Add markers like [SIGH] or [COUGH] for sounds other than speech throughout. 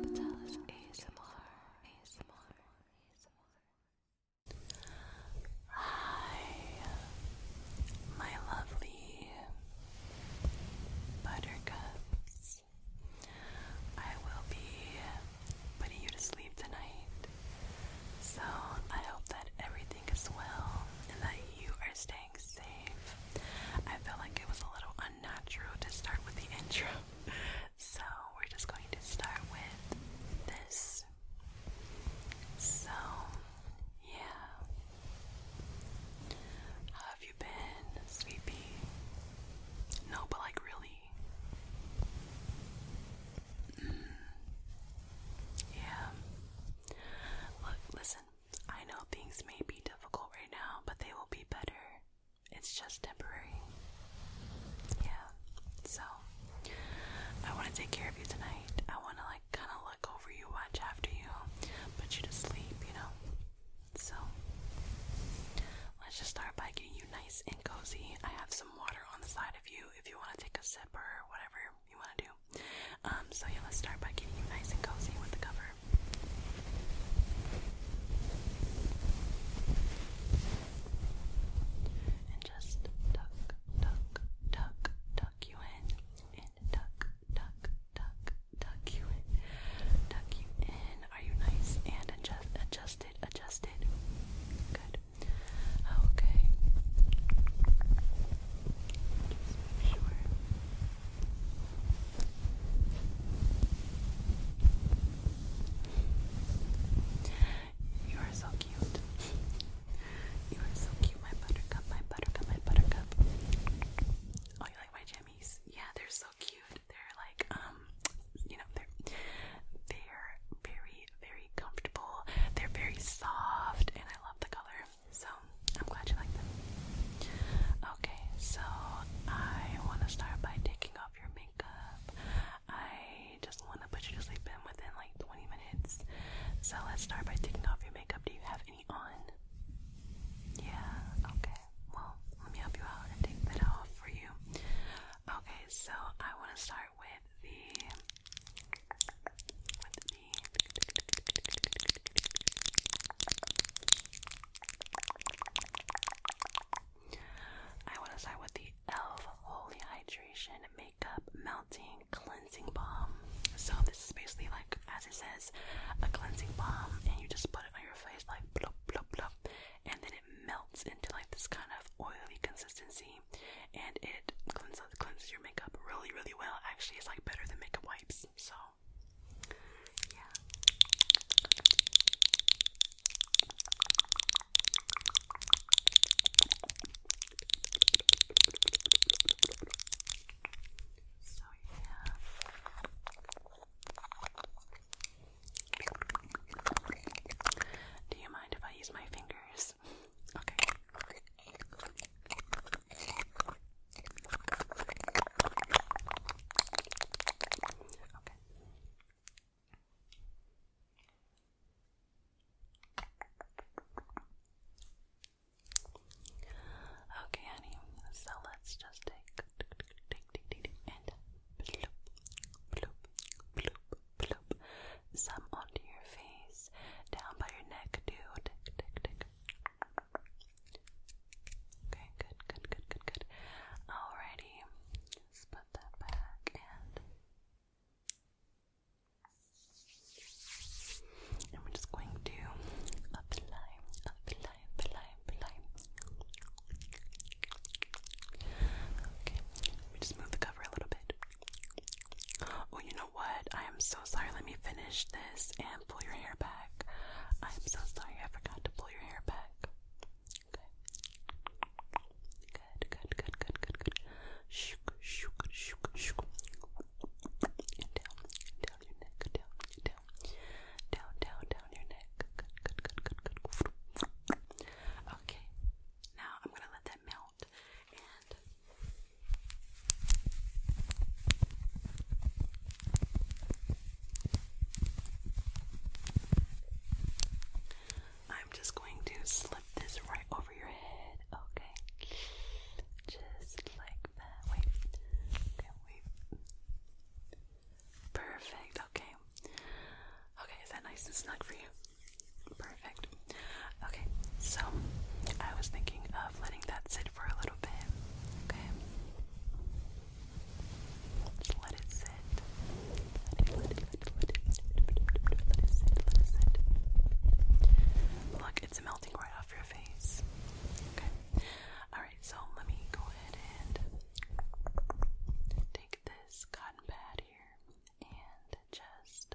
Patelis Hi, my lovely buttercups. I will be putting you to sleep tonight. So I hope that everything is well and that you are staying safe. I feel like it was a little unnatural to start with the [LAUGHS] intro, so we're just going to start with this. So, yeah. have you been, sweet No, but like really. Mm. Yeah. Look, listen, I know things may be difficult right now, but they will be better. It's just temporary. Yeah, so I want to take care of you tonight. I want to, like, kind of look over you, watch after you, put you to sleep, you know? So let's just start by getting you nice and cozy. I have some water on the side of you if you want to take a sip or whatever you want to do. Um, so yeah, let's start by getting you nice and cozy with the cover. And just tuck, tuck, tuck, tuck you in. And tuck, tuck, tuck, tuck you in. Tuck you in. Are you nice and adjust, adjusted? Adjusted. Good. Okay. Just make sure. You are so cute. You are so cute, my buttercup, my buttercup, my buttercup. Oh, you like my jammies? Yeah, they're so cute. They're like, um, you know, they're they're very, very comfortable. They're very soft, and I love the color. So I'm glad you like them. Okay, so I want to start by taking off your makeup. I just want to put you to sleep in within like 20 minutes. So let's start by taking off your makeup. Do you have any on? Yeah, okay. Well, let me help you out and take that off for you. Okay, so I want to start with the I want to start with the e.l.f. Holy Hydration Makeup Melting Cleansing Balm. So, this is basically like, as it says, a cleansing balm, and you just put it on your face, like, blub blub blub, and then it melts into like this kind of oily consistency and it cleans cleanses your makeup really really well. Actually, it's like better than makeup wipes. So, yeah. So yeah. Do you mind if I use my fingers? Okay. Okay. Okay, honey. So let's just take and bloop, bloop, bloop, bloop some onto your face, down by your neck Do Tick, tick, tick. Okay, good, good, good, good, good. Alrighty, let put that back and. And we're just going to apply, apply, apply, apply. Okay, let me just move the cover a little bit. Oh, you know what? I am so sorry. Let me finish this and pull your hair back. I am so sorry. I forgot to pull your hair back. Good. Good, good, good, good, good, good. Shook, shook, shook, shook. down, down your neck, down, down, down, down, down your neck. good, good, good, good. Okay. Now I'm gonna let that melt. I'm just going to slip this right over your head, okay? Just like that. Wait. Okay, wait. Perfect, okay. Okay, is that nice and snug for you? Perfect. Okay, so I was thinking of letting that sit for a little bit. Okay. Just let it sit. Let it, let let it, let let it sit, let it sit. Look, it's melting right off your face. Okay. Alright, so let me go ahead and take this cotton pad here and just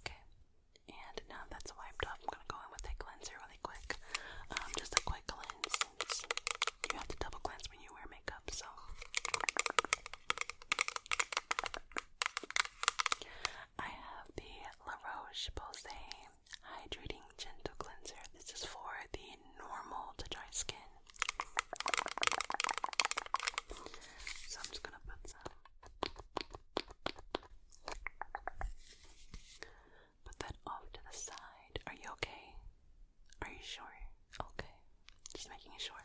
Okay, and now that's wiped off, I'm gonna go in with a cleanser really quick. Um, just a quick cleanse you have to double cleanse when you wear makeup, so. I have the La Roche Posay Hydrating Gentle Cleanser. This is for the normal to dry skin. So I'm just going to put some. Put that off to the side. Are you okay? Are you sure? Okay. Just making sure.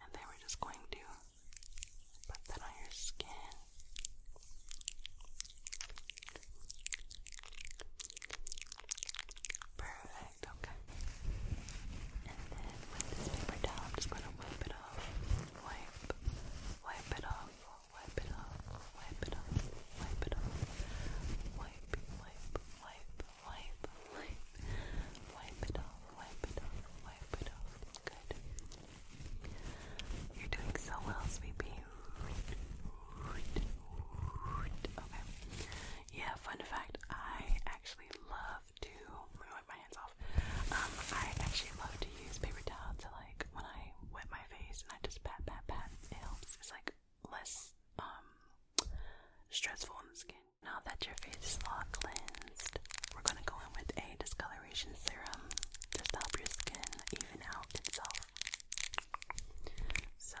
And then we're just going to put that on your skin. Perfect. Perfect, okay. And then with this paper towel, I'm just going to wipe it off. Wipe, wipe it off, wipe it off, wipe it off, wipe it off. Wipe, wipe, wipe, wipe, wipe. Wipe it off, wipe it off, wipe it off. Good. You're doing so well, sweetie. Okay. Yeah, fun fact, I actually love to wipe my hands off. Um, I actually love to use paper towel to like when I wet my face and I just pat pat pat. It helps. It's like less um, stressful on the skin. Now that your face is all cleansed, we're gonna go in with a discoloration serum just to help your skin even out itself. So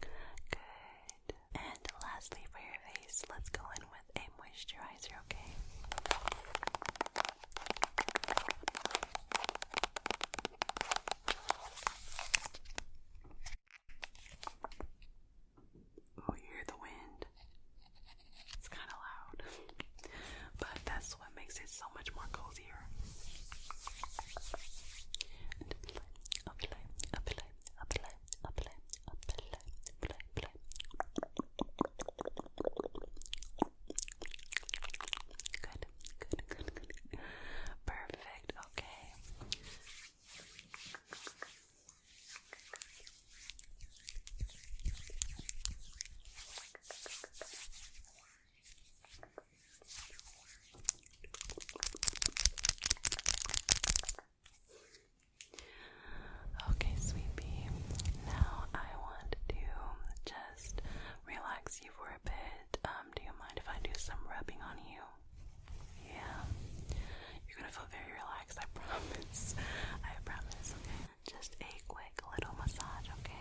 Good. And lastly, for your face, let's go in with a moisturizer, okay? Oh, you hear the wind. It's kind of loud, [LAUGHS] but that's what makes it so much more cozier. Good, good, good, good. Perfect. Okay. Okay, sweetie. Now I want to just relax you for a bit. Um, do you mind if I do some rubbing on you? Yeah. You're gonna feel very relaxed, I [LAUGHS] promise. I promise, just a quick little massage, okay?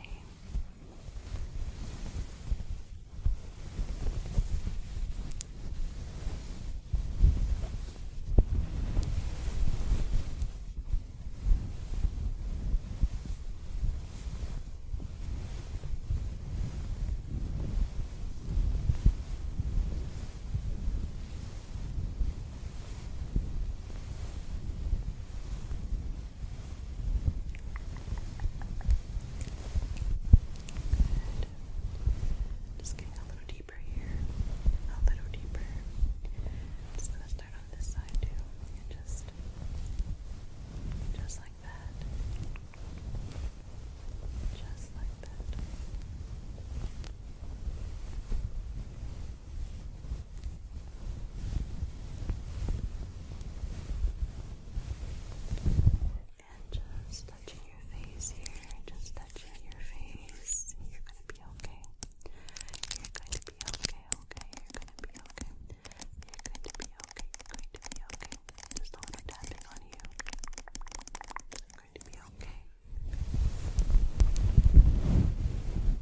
Just getting a little deeper here, a little deeper. just gonna start on this side too, and just, just like that. Just like that. And just touching your face here, just touching your face. You're gonna be okay. You're going to be okay, okay. You're gonna be okay. You're going to be okay. you are going to be okay going to be okay. Just a little tapping on you. You're going to be okay.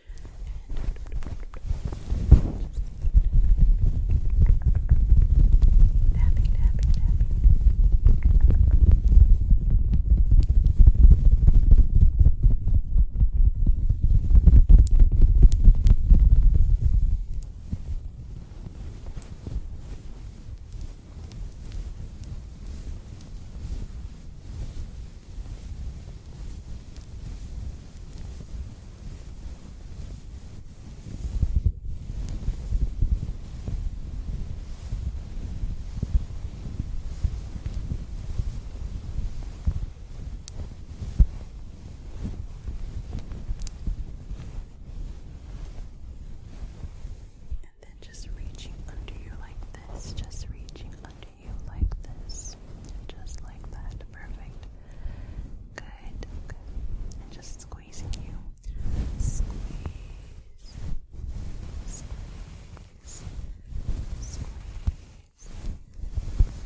Tapping, tapping, tapping. And then just reaching under you like this, just reaching under you like this. Just like that. Perfect. Good. just squeezing you. Squeeze. Squeeze. Squeeze.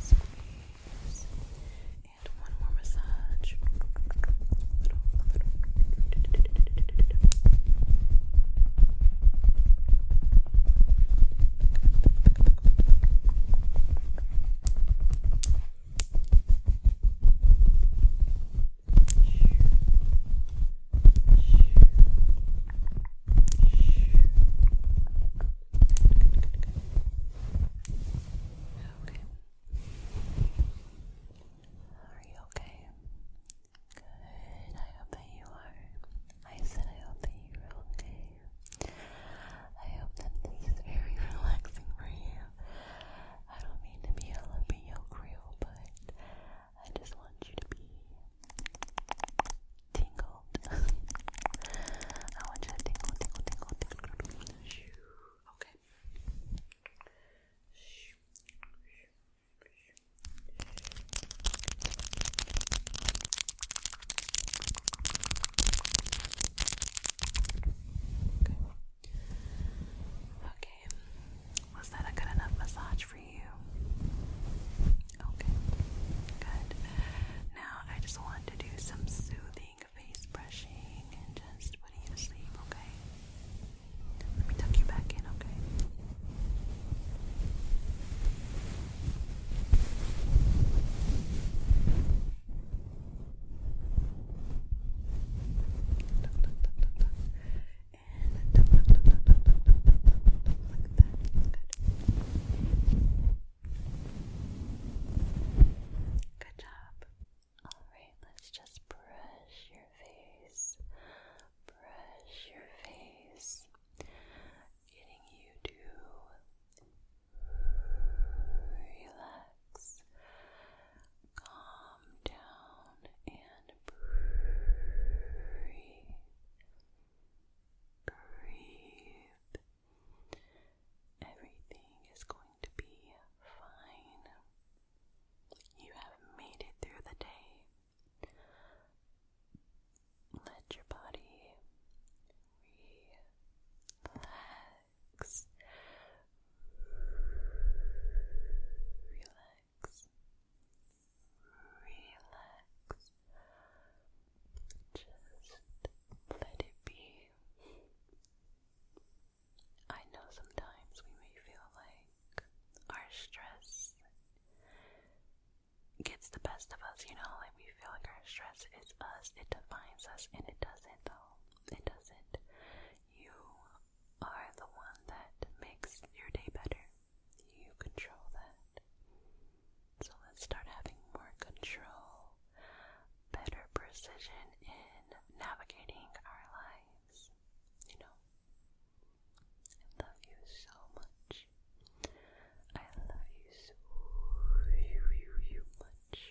Squeeze. And one more massage. little, little. Okay. Are you okay? Good. I hope you are. I said I hope that you are okay. I hope that this is very [LAUGHS] relaxing for you. I don't mean to be all up in but I just want you to be tingled. [LAUGHS] I want you to tingle, tingle, tingle, tingle. Okay. Okay. Was that a good enough massage for you? Okay. Good. Now I just want to do some soothing face brushing and just putting you to sleep, okay? Let me tuck you back in, okay? Good job. Alright, let's just brush your face. Brush your face. Getting you to Relax, calm down, and breathe. Breathe. Everything is going to be fine. You have made it through the day. Let your body relax. Relax. Relax. Just let it be. I know sometimes we may feel like our stress gets the best of us, you know, and we feel like our stress is us, it defines us, and it doesn't though. It doesn't. You are the one that makes your day better. You control that. So let's start having more control, better precision in navigating our lives. You know, I love you so much. I love you so very much.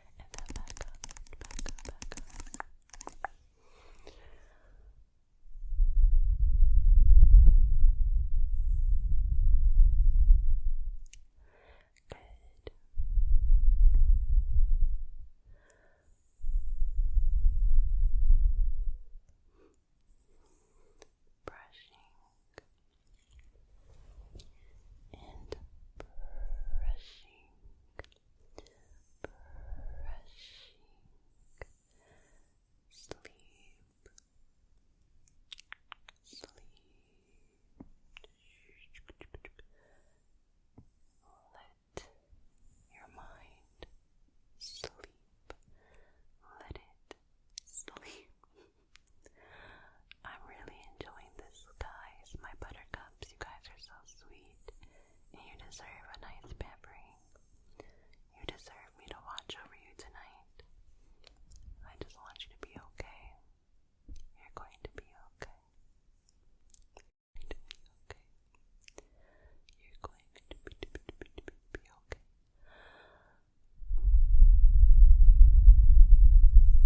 and then Good. Brushing and brushing brushing sleep, sleep. Let your mind sleep. Let it sleep. I'm really enjoying this, guys. My buttercups, you guys are so sweet. And you deserve a nice pampering. You deserve me to watch over you tonight. I just want you to be okay. You're going to be okay. You're going to be okay. be okay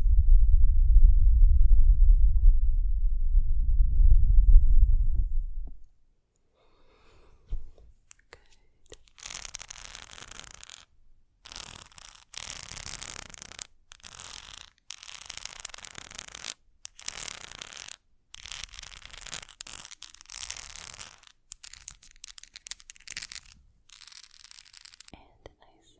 and a nice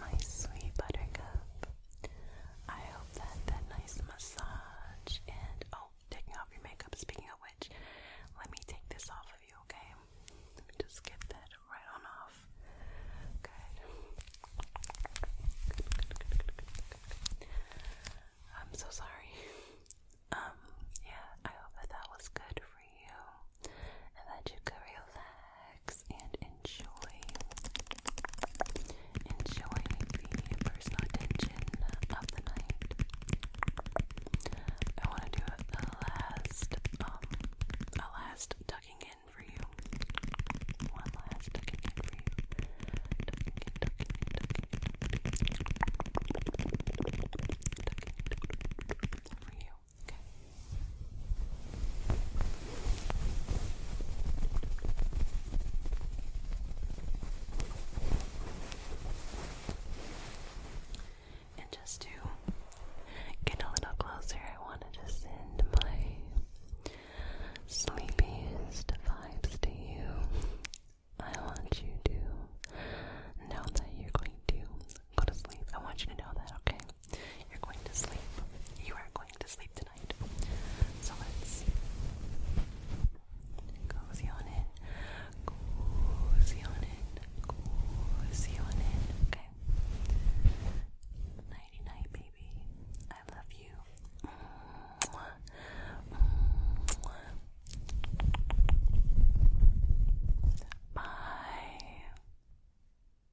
my sweet buttercup. I hope that that nice massage and oh, taking off your makeup. Speaking of which, let me take this off of you, okay? Let me just get that right on off. good. I'm so sorry. Um, yeah, I hope that that was good for you and that you could relax and enjoy. Enjoy the personal attention of the night. I want to do um, a last, a last tucking in for you. One last tucking in for you. Tucking in, tucking in, tucking in. Tucking in for you. And just to get a little closer, I want to just send my sleepiest vibes to you. I want you to know that you're going to go to sleep. I want you to know that, okay? You're going to sleep. You are going to sleep tonight. So let's cozy on in. Cozy on in. Cozy on in. Okay. Nighty night, baby. I love you. Bye.